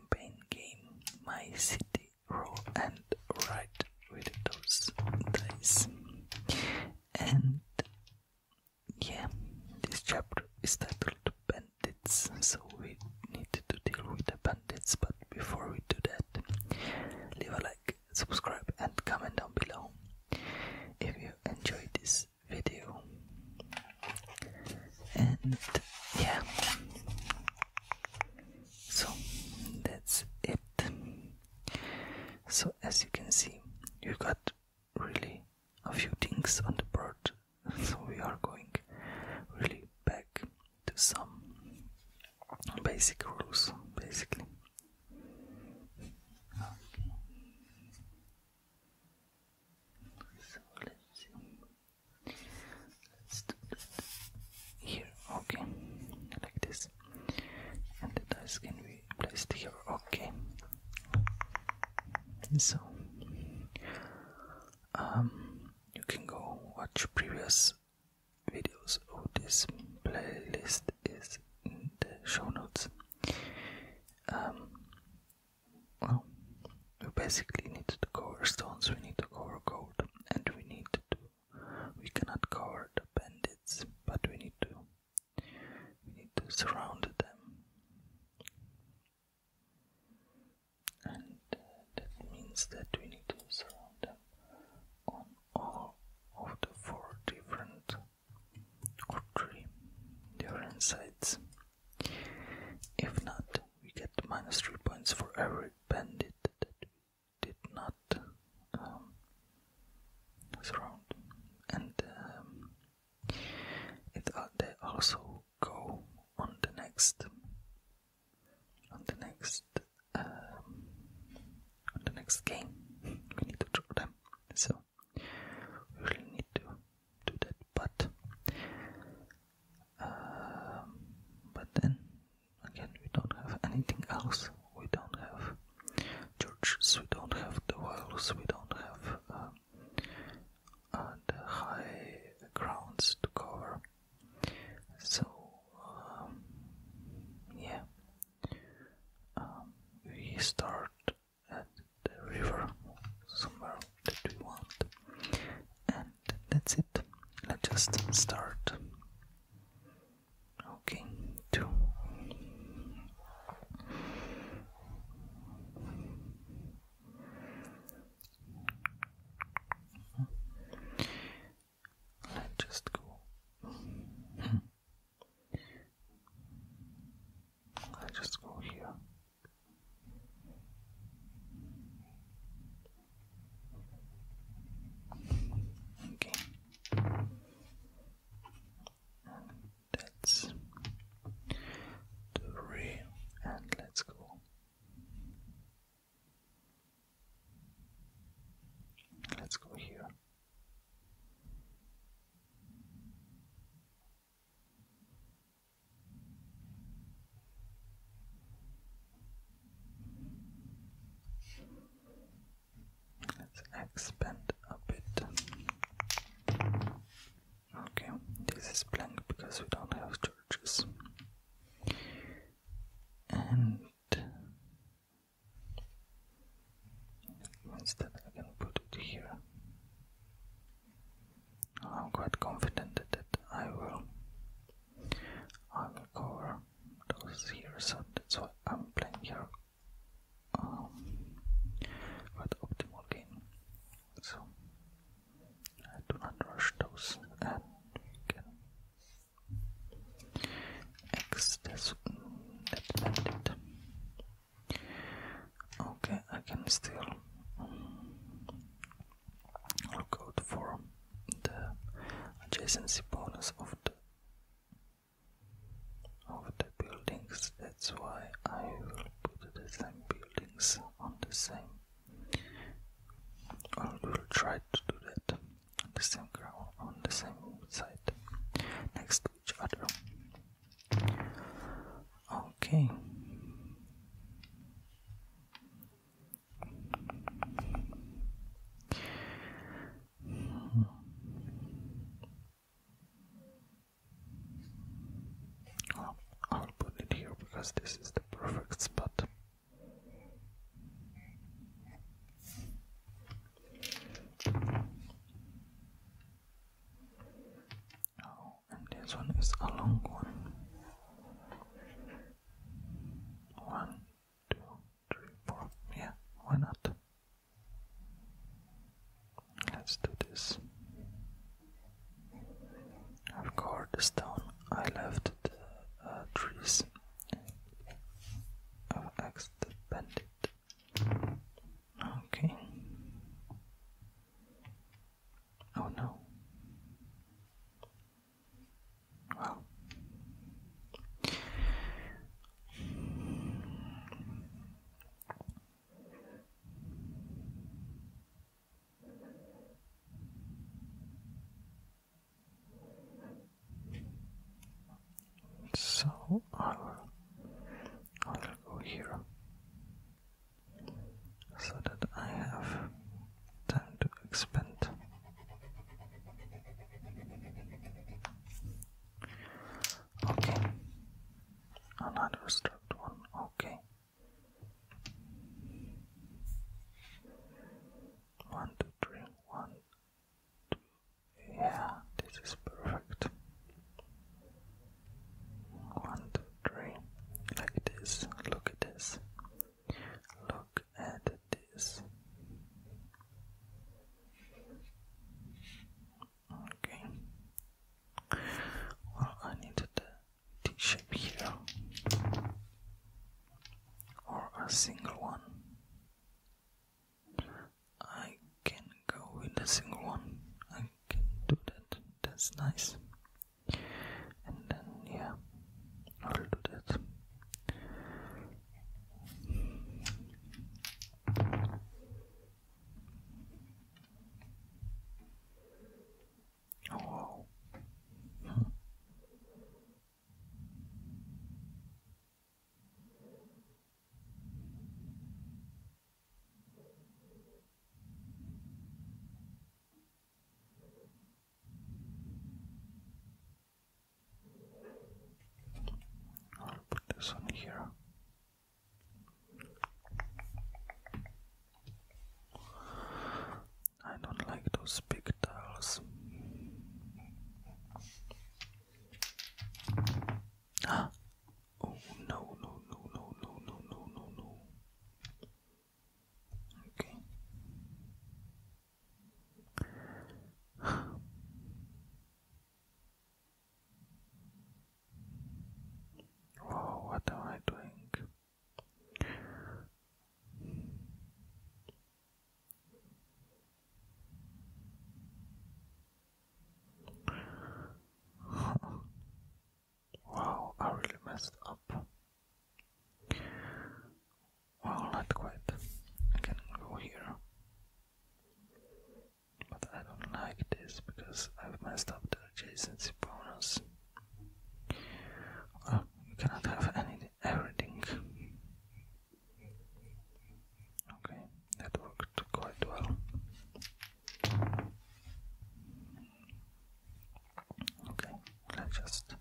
campaign game My City Roll and Write with those dice. And yeah, this chapter is titled Bandits, so we need to deal with the bandits. But before we do that, leave a like, subscribe, and comment down below if you enjoyed this video and yeah so that's it so as you can see you got really a few things on the board so we are going really back to some basic rules basically so let's see Let's do that here, okay, like this. And the dice can be placed here, okay. So, um, you can go watch previous videos of oh, this playlist is in the show notes. Um, well, we basically need to cover stones, we need to cover gold, and we need to we cannot cover the bandits, but we need to, we need to surround them. And uh, that means that we need to surround them on all of the four different different sides. If not, we get minus 3 points for every bandit that we did not um, surround. And um, they also go on the next on the next um, on the next game. We need to draw them. So we really need to do that, but um, but then again, we don't have anything else. We don't have churches. We don't have the walls. We don't have um, uh, the high grounds to cover. So um, yeah, we start at the river somewhere that we want. And that's it. Let's just start. Okay, two. Let's just go. Hmm. Let's just go here. That's three, and let's go. Let's go here. Let's expand a bit. Okay, this is blank because we don't have churches. And instead, I can put it here. I'm quite confident that I will I will cover those here, so That's why I'm playing here um, with optimal gain. So I do not rush those and we Okay, I can still look for the adjacency bonus of the of the buildings. That's why I will put the same buildings on the same. I will try to do that on the same ground, on the same side, next to each other. Okay. I'll put it here because this is the perfect spot and this one is a long one. One, two, three, four. Yeah, why not? Let's do this. I've cored this down. I left the uh, trees. I've axed Okay. Oh no. Wow. So I will, I will go here so that I have time to expand. Okay, another struct one. Okay, one, two, three, one, two. Yeah, this is perfect. One, country like this. Look at this. Look at this. Okay. Well, I needed a T shape here or a single one. I can go with a single one. I can do that. That's nice and then yeah, I'll do that. Oh, wow. I'll put this on here. I don't like those big tiles. Ah! Oh no no no no no no no no Okay. Whoa, what am I doing? Wow, I really messed up. Well, not quite. I can go here. But I don't like this because I've messed up the adjacency bonus. Oh, well, you cannot have any everything. Okay, that worked quite well. Okay, let's just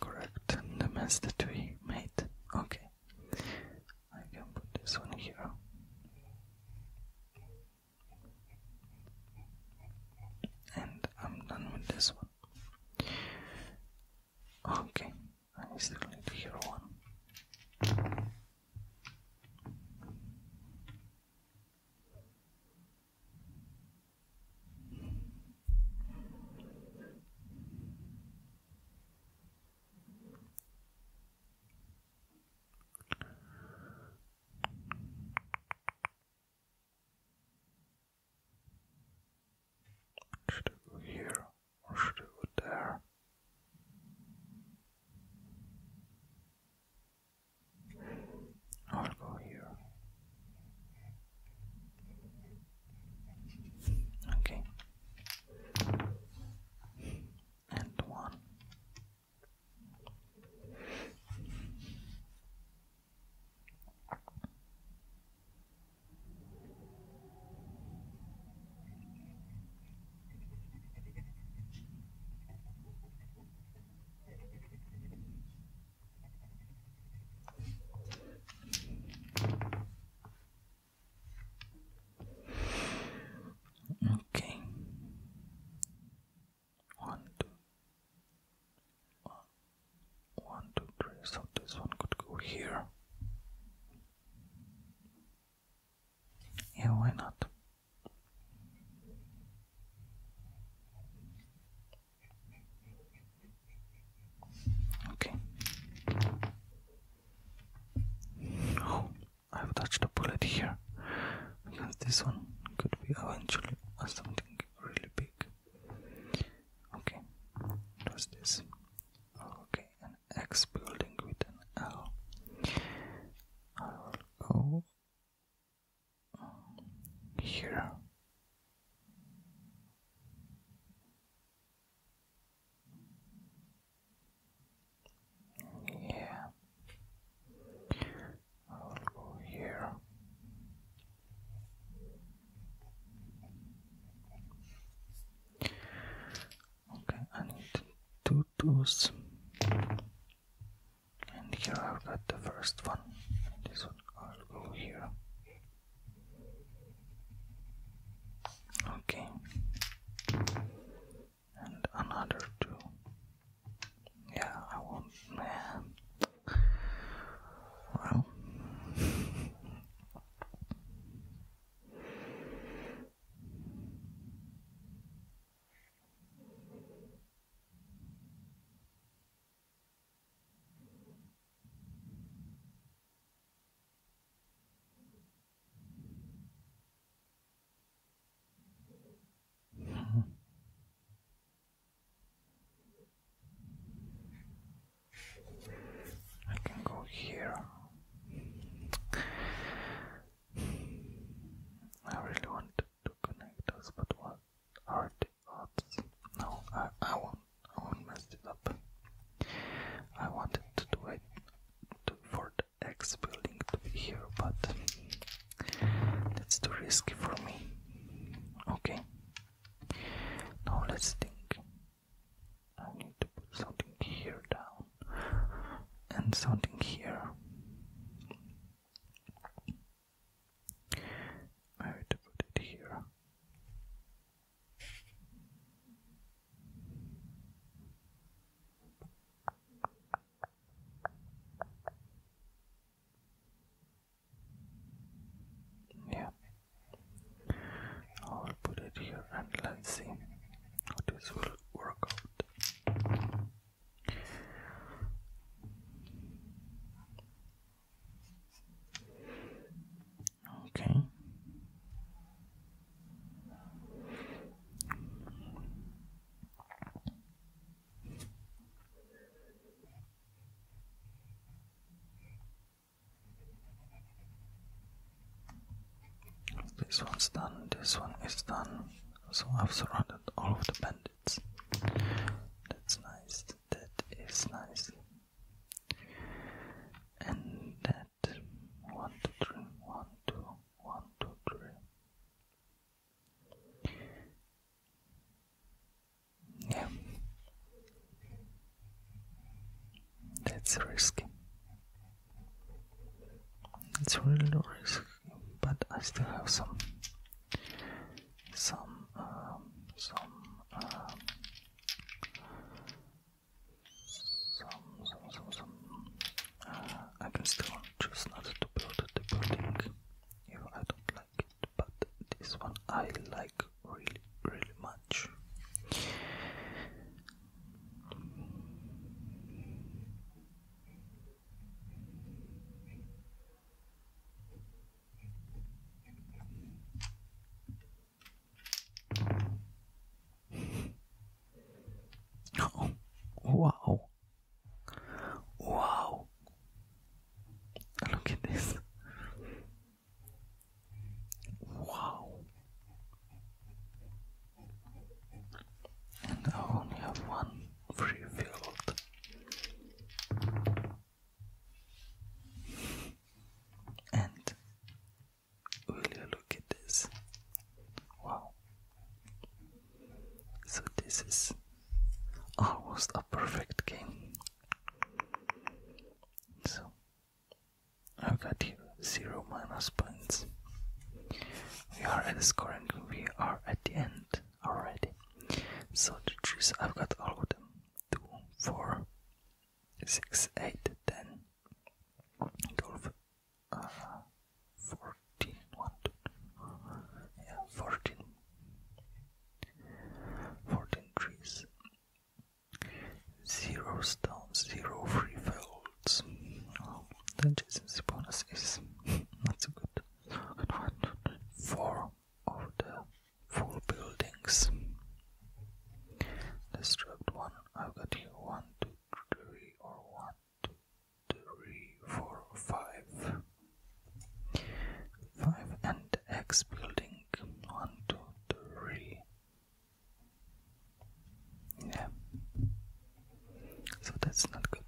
correct the mess that we made. Okay, I can put this one here. And I'm done with this one. Okay, I still need here one. Should I go here or should I go there? I'll go here. Okay. And one. Okay. One, two, one, one, two, three. So this one could go here. Yeah, why not? Okay. Oh, I've touched a bullet here because this one could be eventually something really big. Okay, what's this? Okay, an X building with an L. I will go here. Yeah, I'll go here. Okay, I need two tools and here I've got the first one this one I'll go here okay and another two yeah I want man I can go here. I really wanted to connect us, but what are no, I, I won't. I won't mess it up. I wanted to do it for the X building to be here, but that's too risky for me. Okay. Now let's think. I need to put something here down and something here. I would put it here. Yeah, I'll put it here and let's see how this will work out. Okay. This one's done, this one is done. So I've surrounded all of the bandits that's nice. That is nice. And that one two three one two one two three. Yeah. That's risky. It's really risky, but I still have some um, some um, some some some some some uh, I can still choose not to build the building if I don't like it but this one I like really really much Oh, wow. Wow. Look at this. Wow. And I only have one refilled. And will you look at this? Wow. So this is almost a perfect game. So I have got here zero minus points. We are at the score we are at the end already. So the trees I've got all of them. Two, four, six, eight, ten, twelve, uh, fourteen, one, two, yeah, fourteen, fourteen trees. Zero stones, zero free fields. Oh, the Jason's bonus is not so good. One, two, three, four, of the four buildings. Destruct one. I've got here one, two, three, or one, two, three, four, five. Five and the X building. One, two, three. Yeah. So that's not good.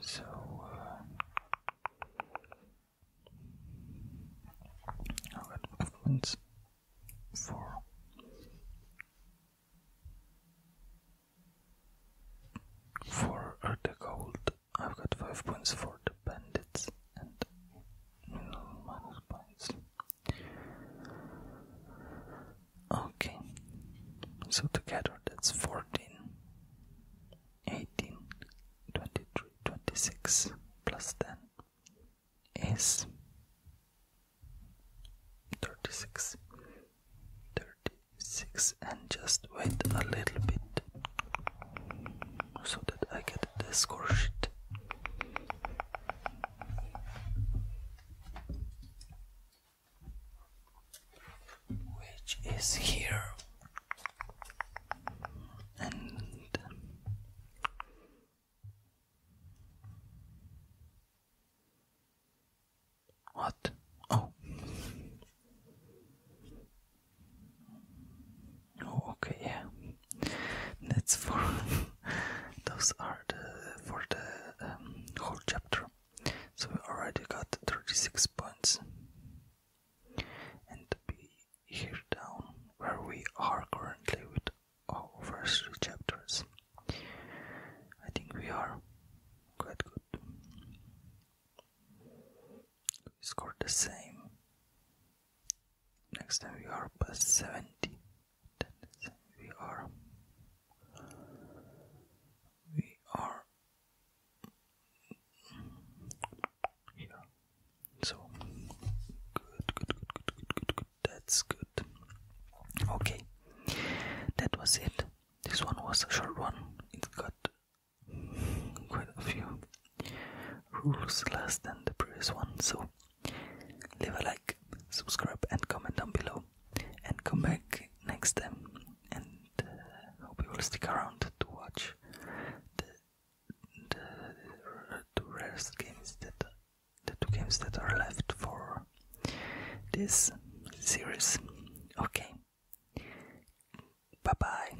So uh, I got movements for for the gold. I've got five points for the bandits and minus points Okay, so together that's 14, 18, 26 plus 10 is 36. 36 and just wait a little bit so that I get the score sheet which is here and what? Oh. Oh, okay, yeah that's for those are the for the um, whole chapter so we already got 36 points and be here down where we are currently with our first two chapters I think we are quite good we scored the same next time we are plus 70 we are we are here so good good good good good good, good. that's good okay that was it this one was a short one it got quite a few rules less than the previous one so Leave a like, subscribe, and comment down below. And come back next time. And uh, hope you will stick around to watch the the two rarest games that the two games that are left for this series. Okay. Bye bye.